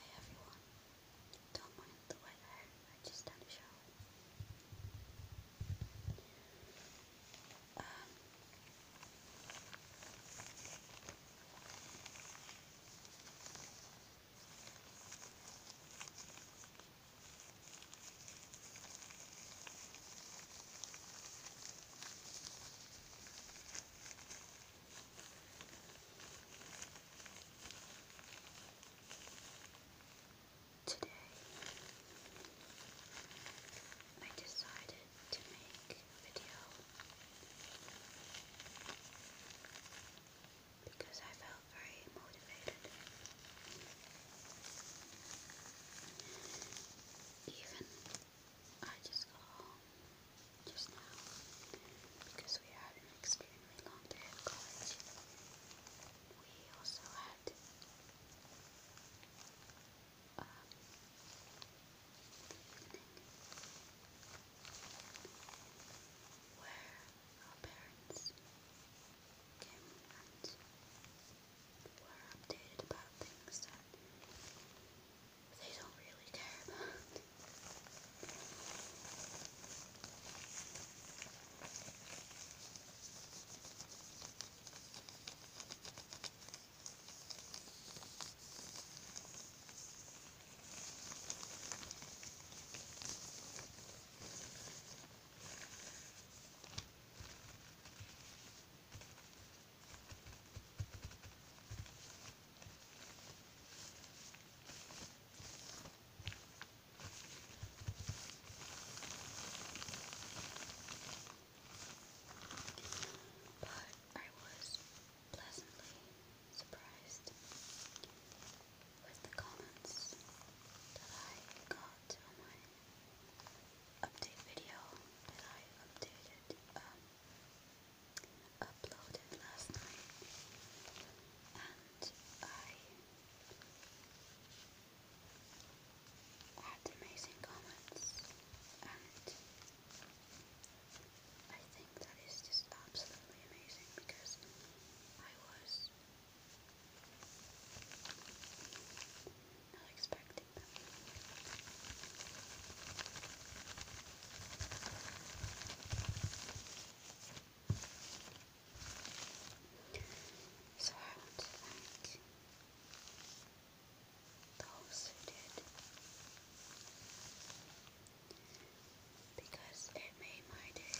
Hey everyone, don't mind the wet I just had a shower. Um, Today, I decided to make a video because I felt very motivated. Even I just got home just now because we had an extremely long day at college. We also had the um, evening where our parents came and were updated about things that they don't really care about. But I was pleasantly surprised with the comments that I got on update video I updated, um, uploaded last night, and I had amazing comments, and I think that is just absolutely amazing because I was. So I want to thank those who did because it made my day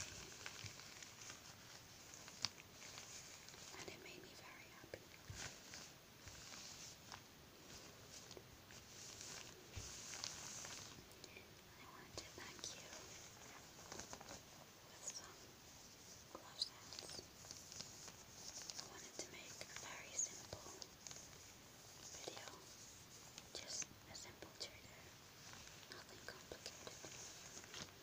and it made me very happy. I wanted to thank you with some glove I wanted to make a very simple video, just a simple trigger, nothing complicated.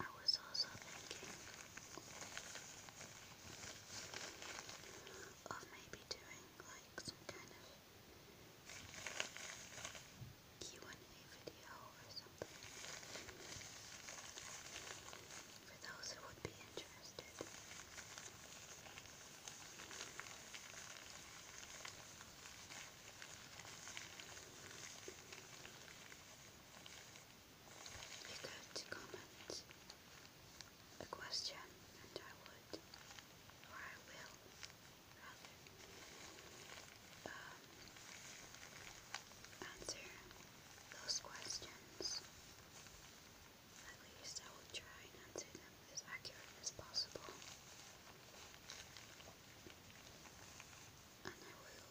I was also thinking of maybe doing like some kind of Q and A video or something for those who would be interested. You could comment a question, and I would, or I will, um, answer those questions. At least I will try and answer them as accurate as possible. And I will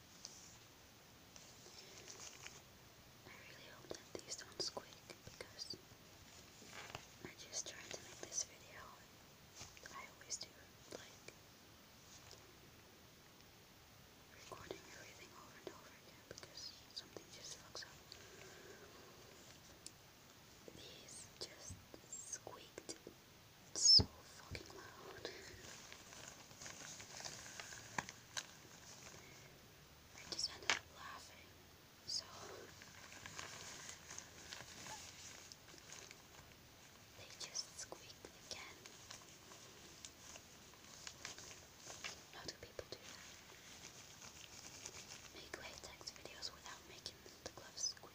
I really hope that these don't squeak because I just tried to make this video. I always do, like, recording everything over and over again because something just fucks up. These just squeaked it's so fucking loud. I just ended up laughing. So they just squeaked again. How do people do that? Make latex videos without making the gloves squeak.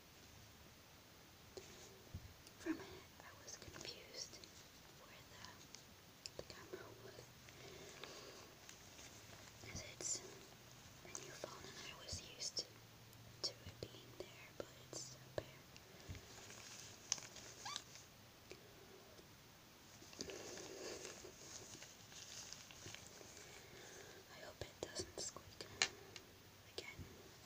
For a I was confused where the, camera was. it's a new phone, and I was used to, it being there, but it's up I hope it doesn't squeak again.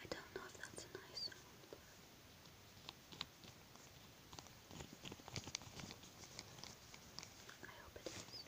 I don't know if that's a nice sound. I hope it is.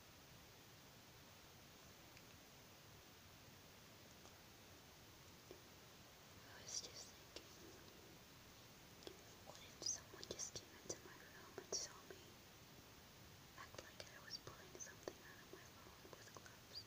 I was just thinking, what if someone just came into my room and saw me act like I was pulling something out of my phone with gloves?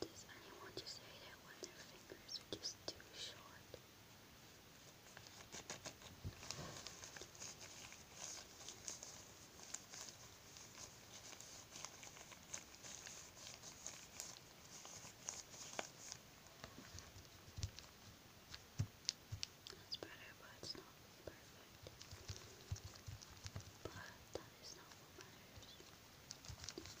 Does anyone just hate it when their fingers are just too short? That's better, but it's not perfect. But that is not what matters.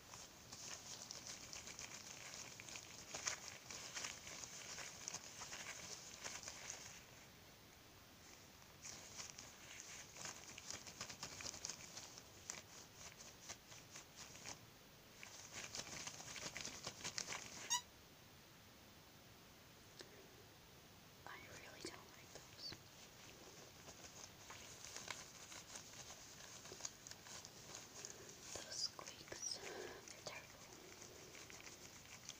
I really don't like those. Those squeaks, they're terrible. They're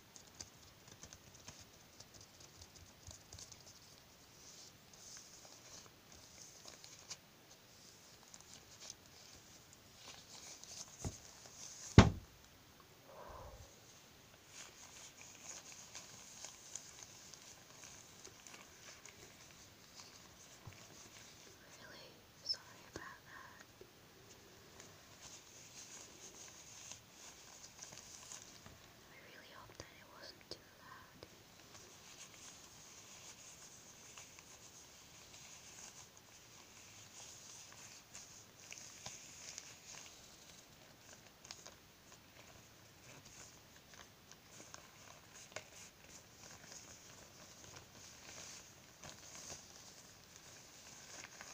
Really sorry about that. I really hope that it wasn't too loud.